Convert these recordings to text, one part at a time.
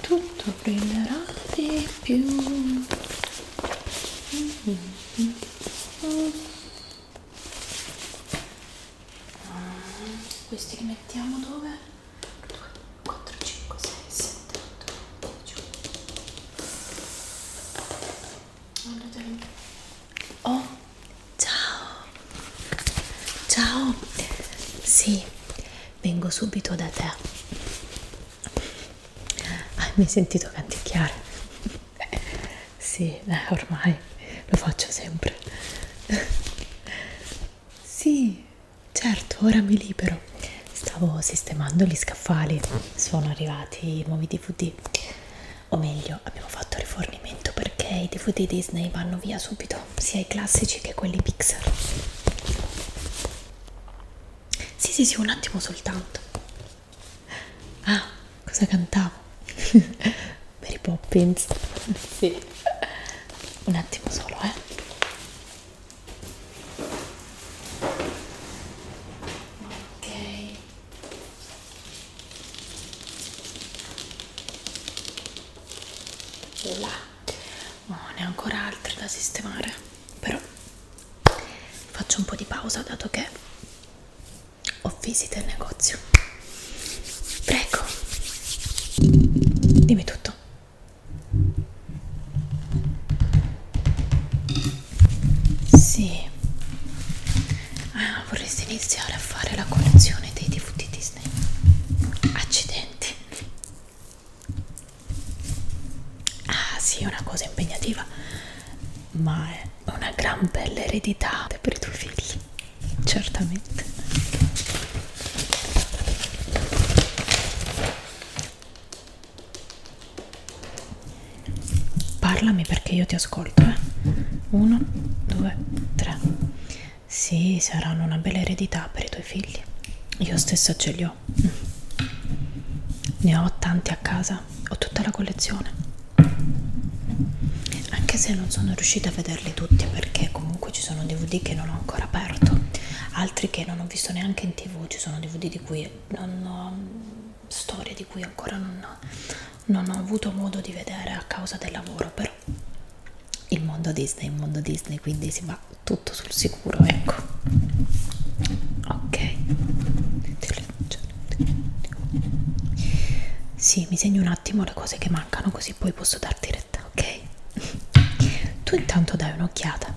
tutto brillerà di più questi li mettiamo dove? 2, 4, 5, 6, 7, 8, 9, 10 allora, oh, ciao Ciao, sì, vengo subito da te. Ah, mi hai sentito canticchiare? Sì, eh, ormai lo faccio sempre. Sì, certo, ora mi libero. Stavo sistemando gli scaffali, sono arrivati i nuovi DVD. O meglio, abbiamo fatto rifornimento perché i DVD Disney vanno via subito preferito sia i classici che quelli pixel sì sì sì un attimo soltanto ah cosa cantavo Mary Poppins sì un attimo solo eh ok là oh, ne ho ancora altri da sistemare però faccio un po' di pausa dato che ho visita il negozio prego dimmi tutto sì ah, vorresti iniziare a fare la collezione dei DVD di Disney accidenti ah sì è una cosa impegnativa ma è una gran bella eredità per i tuoi figli certamente parlami perché io ti ascolto eh 1 2 3 sì, saranno una bella eredità per i tuoi figli. Io stessa ce li ho. Ne ho tanti a casa, ho tutta la collezione. Anche se non sono riuscita a vederli tutti perché comunque ci sono DVD che non ho ancora aperto, altri che non ho visto neanche in tv, ci sono DVD di cui non ho storie di cui ancora non, non ho avuto modo di vedere a causa del lavoro, però sicuro il mondo Disney il mondo Disney quindi si va tutto sul sicuro ecco ok sì mi segno un attimo le cose che mancano così poi posso darti retta ok tu intanto dai un'occhiata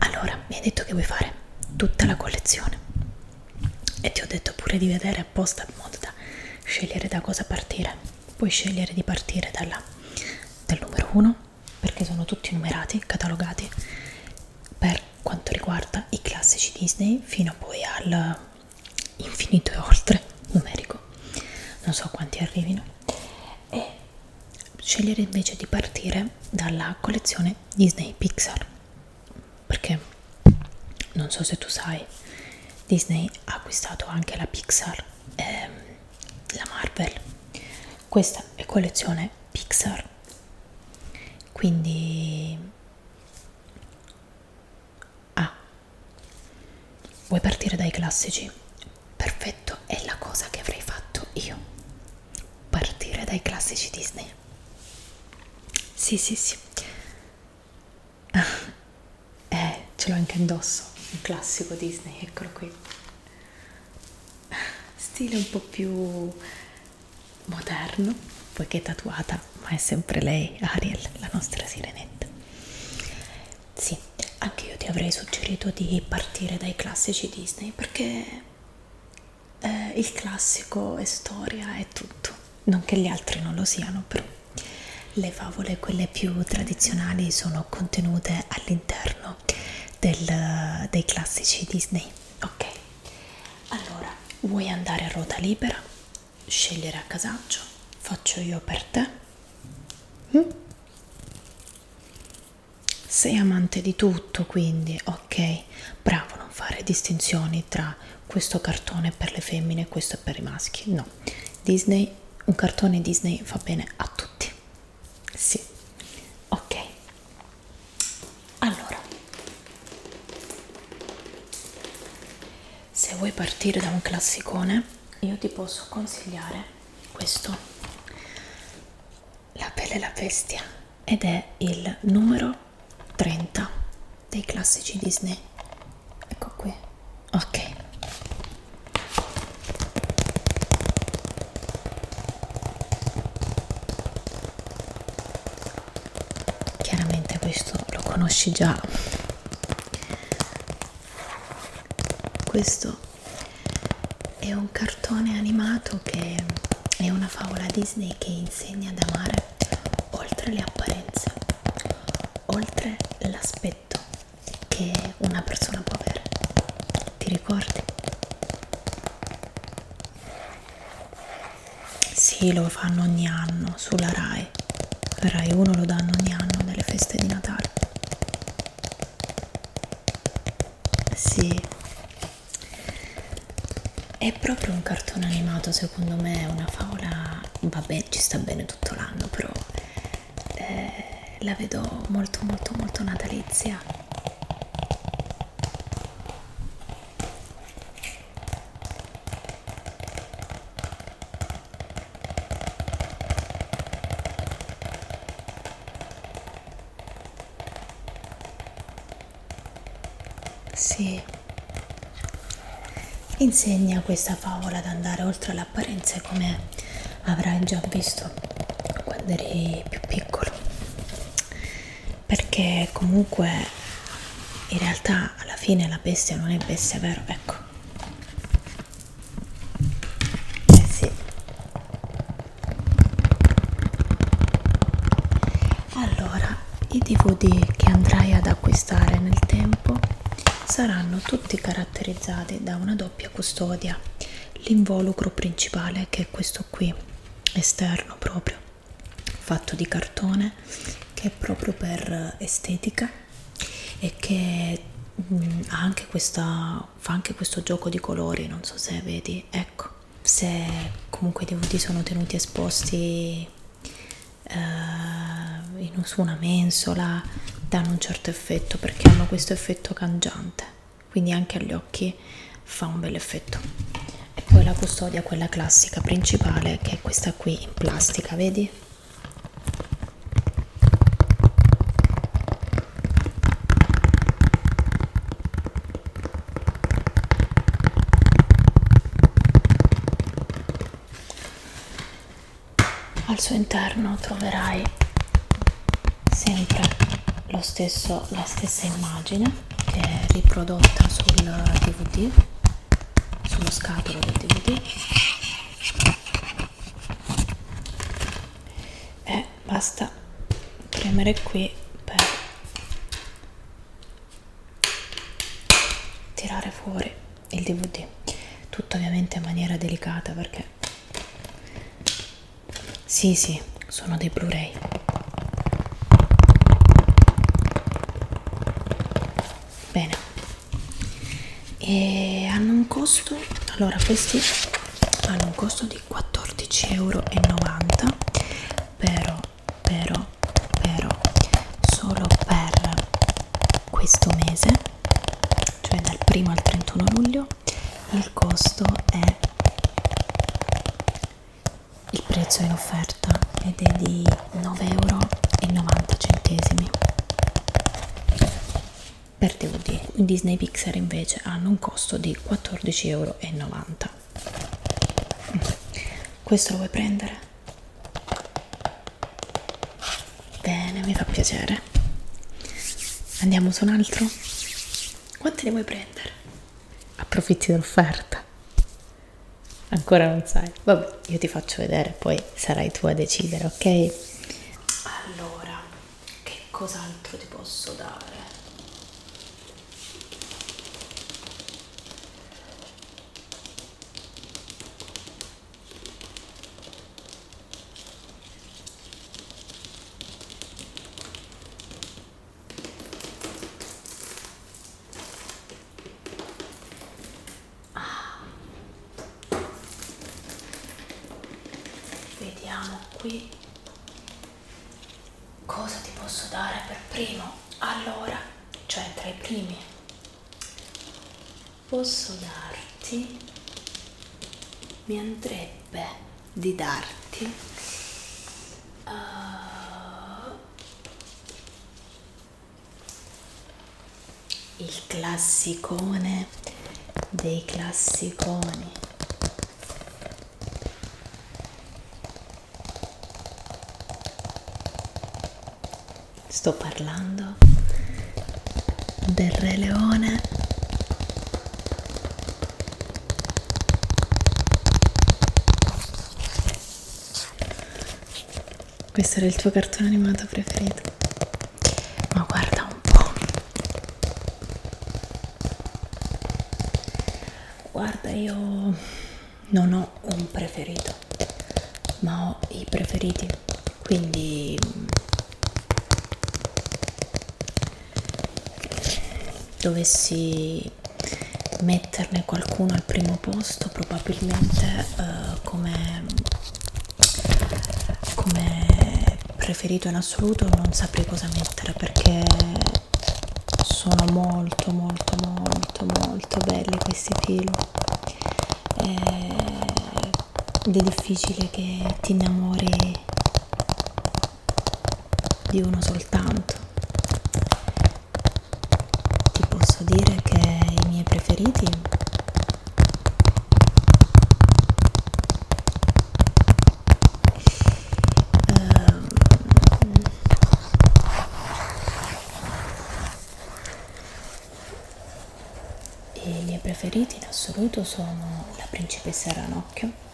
Allora, mi hai detto che vuoi fare tutta la collezione e ti ho detto pure di vedere apposta in modo da scegliere da cosa partire. Puoi scegliere di partire dalla, dal numero 1 perché sono tutti numerati, catalogati per quanto riguarda i classici Disney fino poi al infinito e oltre numerico non so quanti arrivino e scegliere invece di partire dalla collezione Disney Pixar perché non so se tu sai Disney ha acquistato anche la Pixar ehm, la Marvel questa è collezione Pixar quindi ah vuoi partire dai classici perfetto è la cosa che avrei fatto io partire dai classici Disney sì sì sì ah, eh ce l'ho anche indosso un classico Disney eccolo qui stile un po' più moderno poiché è tatuata ma è sempre lei Ariel la nostra sirenetta sì anche io ti avrei suggerito di partire dai classici Disney perché eh, il classico è storia, è tutto, non che gli altri non lo siano, però le favole, quelle più tradizionali, sono contenute all'interno dei classici Disney. Ok, allora vuoi andare a ruota libera? Scegliere a casaccio, faccio io per te. Mm? Sei amante di tutto, quindi ok, bravo, non fare distinzioni tra questo cartone è per le femmine e questo è per i maschi. No, Disney, un cartone Disney fa bene a tutti. Sì, ok. Allora, se vuoi partire da un classicone, io ti posso consigliare questo la pelle e la bestia ed è il numero 30 dei classici Disney ecco qui ok chiaramente questo lo conosci già questo è un cartone animato che è una favola Disney che insegna ad amare oltre le apparenze, oltre l'aspetto che una persona può avere. Ti ricordi? Sì, lo fanno ogni anno sulla Rai. Rai 1 lo danno ogni anno nelle feste di Natale. Sì, è proprio un cartone animato, secondo me è una favola, vabbè ci sta bene tutto l'anno, però eh, la vedo molto molto molto natalizia. Sì, insegna questa favola ad andare oltre l'apparenza come avrai già visto quando eri più piccolo, perché comunque in realtà alla fine la bestia non è bestia, vero? Ecco, eh sì allora i dvd che andrai ad acquistare nel tempo saranno tutti caratterizzati da una doppia custodia l'involucro principale che è questo qui esterno proprio fatto di cartone che è proprio per estetica e che mh, mm, ha anche questa, fa anche questo gioco di colori, non so se vedi, ecco, se comunque i DVD sono tenuti esposti eh, in, su una mensola danno un certo effetto perché hanno questo effetto cangiante quindi anche agli occhi fa un bel effetto e poi la custodia quella classica principale che è questa qui in plastica vedi al suo interno troverai sempre lo stesso, la stessa immagine che è riprodotta sul DVD, sullo scatolo del DVD e eh, basta premere qui per tirare fuori il dvd tutto ovviamente in maniera delicata perché sì sì sono dei blu-ray bene e hanno un costo allora questi hanno un costo di 14,90 euro però però però solo per questo mese cioè dal 1 al 31 luglio il costo è il prezzo in offerta ed è di 9,90 euro per DVD i Disney Pixar invece hanno un costo di 14,90 euro questo lo vuoi prendere? bene mi fa piacere andiamo su un altro? quanti ne vuoi prendere? approfitti dell'offerta Ancora non sai. Vabbè, io ti faccio vedere, poi sarai tu a decidere, ok? Allora, che cos'altro ti posso dare? ah. vediamo qui cosa ti posso dare per primo allora cioè tra i primi posso darti mi andrebbe di darti uh, il classicone dei classiconi sto parlando del re leone questo era il tuo cartone animato preferito. Ma guarda un po'. Guarda, io non ho un preferito, ma ho i preferiti. Quindi mm, dovessi mettere metterne qualcuno al primo posto probabilmente eh, come, come preferito in assoluto non saprei cosa mettere perché sono molto molto molto molto belli questi film eh, ed è difficile che ti innamori di uno soltanto ti posso dire che i miei preferiti uh, i miei preferiti in assoluto sono la principessa ranocchio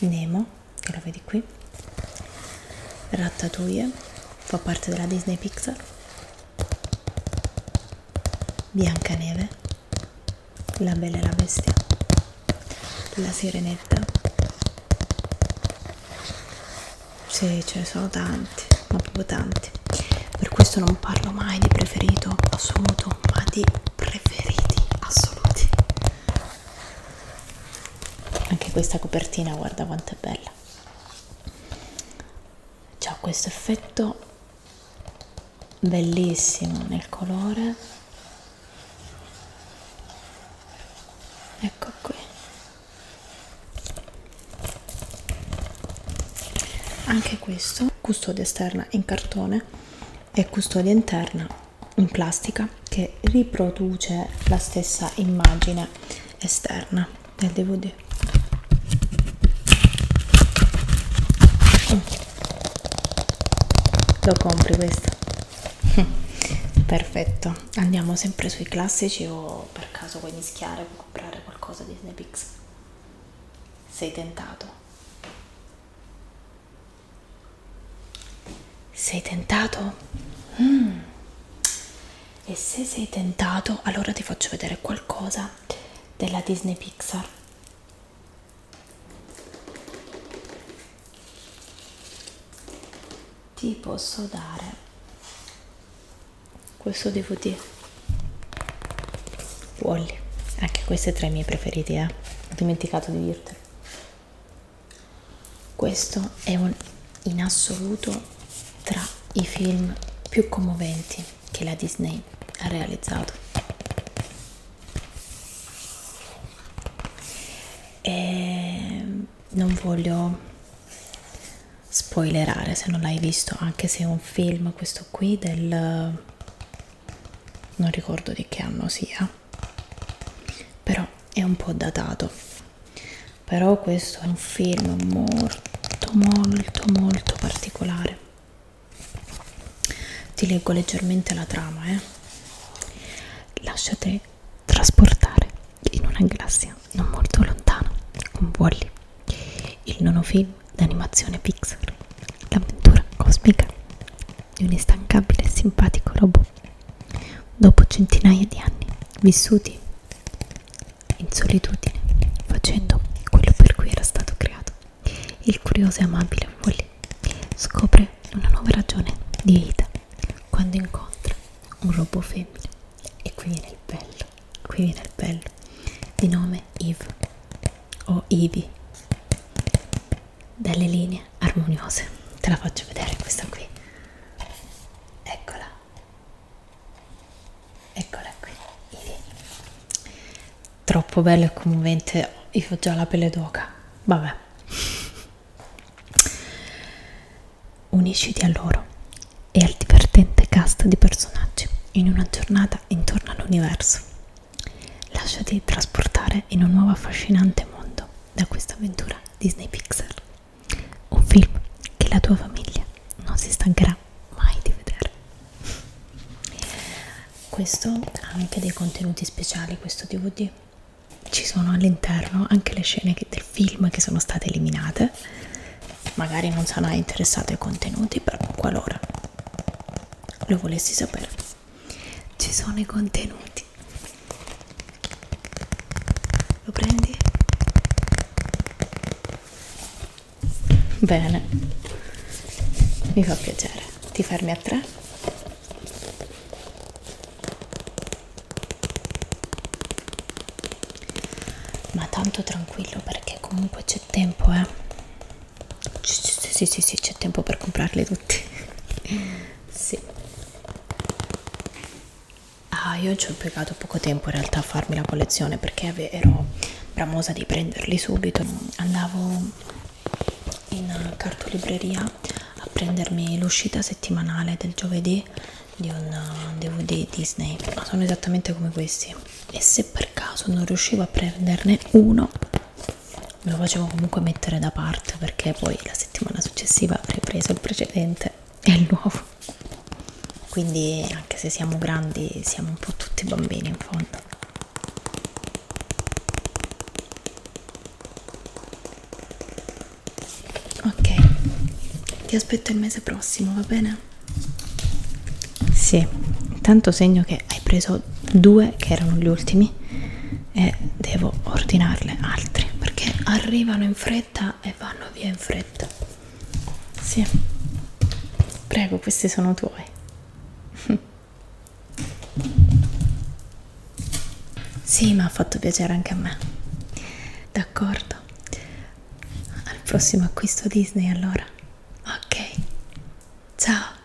Nemo, che la vedi qui Ratatouille fa parte della Disney Pixar Biancaneve La Bella e la Bestia La Sirenetta sì ce ne sono tanti ma proprio tanti per questo non parlo mai di preferito assoluto ma di preferiti assoluti anche questa copertina guarda quanto è bella c'ha questo effetto bellissimo nel colore ecco qui anche questo custodia esterna in cartone e custodia interna in plastica che riproduce la stessa immagine esterna del DVD. Oh. Lo compri questo? Perfetto, andiamo sempre sui classici o per caso vuoi mischiare o comprare qualcosa di Disney Pixar? Sei tentato? Sei tentato? Mm. E se sei tentato, allora ti faccio vedere qualcosa della Disney Pixar. Ti posso dare questo DVD. Wally, anche questo è tra i miei preferiti, eh? Ho dimenticato di dirtelo. Questo è un, in assoluto tra i film più commoventi che la Disney ha realizzato. E ehm, non voglio spoilerare se non l'hai visto, anche se è un film questo qui del non ricordo di che anno sia però è un po' datato però questo è un film molto molto molto particolare ti leggo leggermente la trama eh lasciate trasportare in una galassia non molto lontana con Wally il nono film d'animazione Pixar l'avventura cosmica di un instancabile e simpatico robot Dopo centinaia di anni vissuti in solitudine, facendo quello per cui era stato creato, il curioso e amabile Wally scopre una nuova ragione di vita quando incontra un robot femmina. E qui viene il bello, qui viene il bello, di nome Eve o Ivy delle linee armoniose te la faccio vedere questa qui eccola eccola qui Ivi. troppo bella e commovente io ho già la pelle d'oca vabbè unisciti a loro e al divertente cast di personaggi in una giornata intorno all'universo lasciati trasportare in un nuovo affascinante mondo da questa avventura Disney Pixar. Un film che la tua famiglia non si stancherà mai di vedere. Questo ha anche dei contenuti speciali, questo DVD. Ci sono all'interno anche le scene che, del film che sono state eliminate. Magari non sarà interessato ai contenuti, però qualora lo volessi sapere ci sono i contenuti lo prendi? bene mi fa piacere ti fermi a tre? ma tanto tranquillo perché comunque c'è tempo eh sì sì sì c'è tempo per comprarli tutti sì. Ah, io ci ho impiegato poco tempo in realtà a farmi la collezione perché ero bramosa di prenderli subito. Andavo in cartolibreria a prendermi l'uscita settimanale del giovedì di un DVD Disney. Sono esattamente come questi. E se per caso non riuscivo a prenderne uno, me lo facevo comunque mettere da parte perché poi la settimana successiva avrei preso il precedente e il nuovo quindi anche se siamo grandi siamo un po' tutti bambini in fondo ok ti aspetto il mese prossimo va bene? sì intanto segno che hai preso due che erano gli ultimi e devo ordinarle altri perché arrivano in fretta e vanno via in fretta. Sì, prego, questi sono tuoi. Sì, mi ha fatto piacere anche a me. D'accordo. Al prossimo acquisto Disney allora. Ok. Ciao.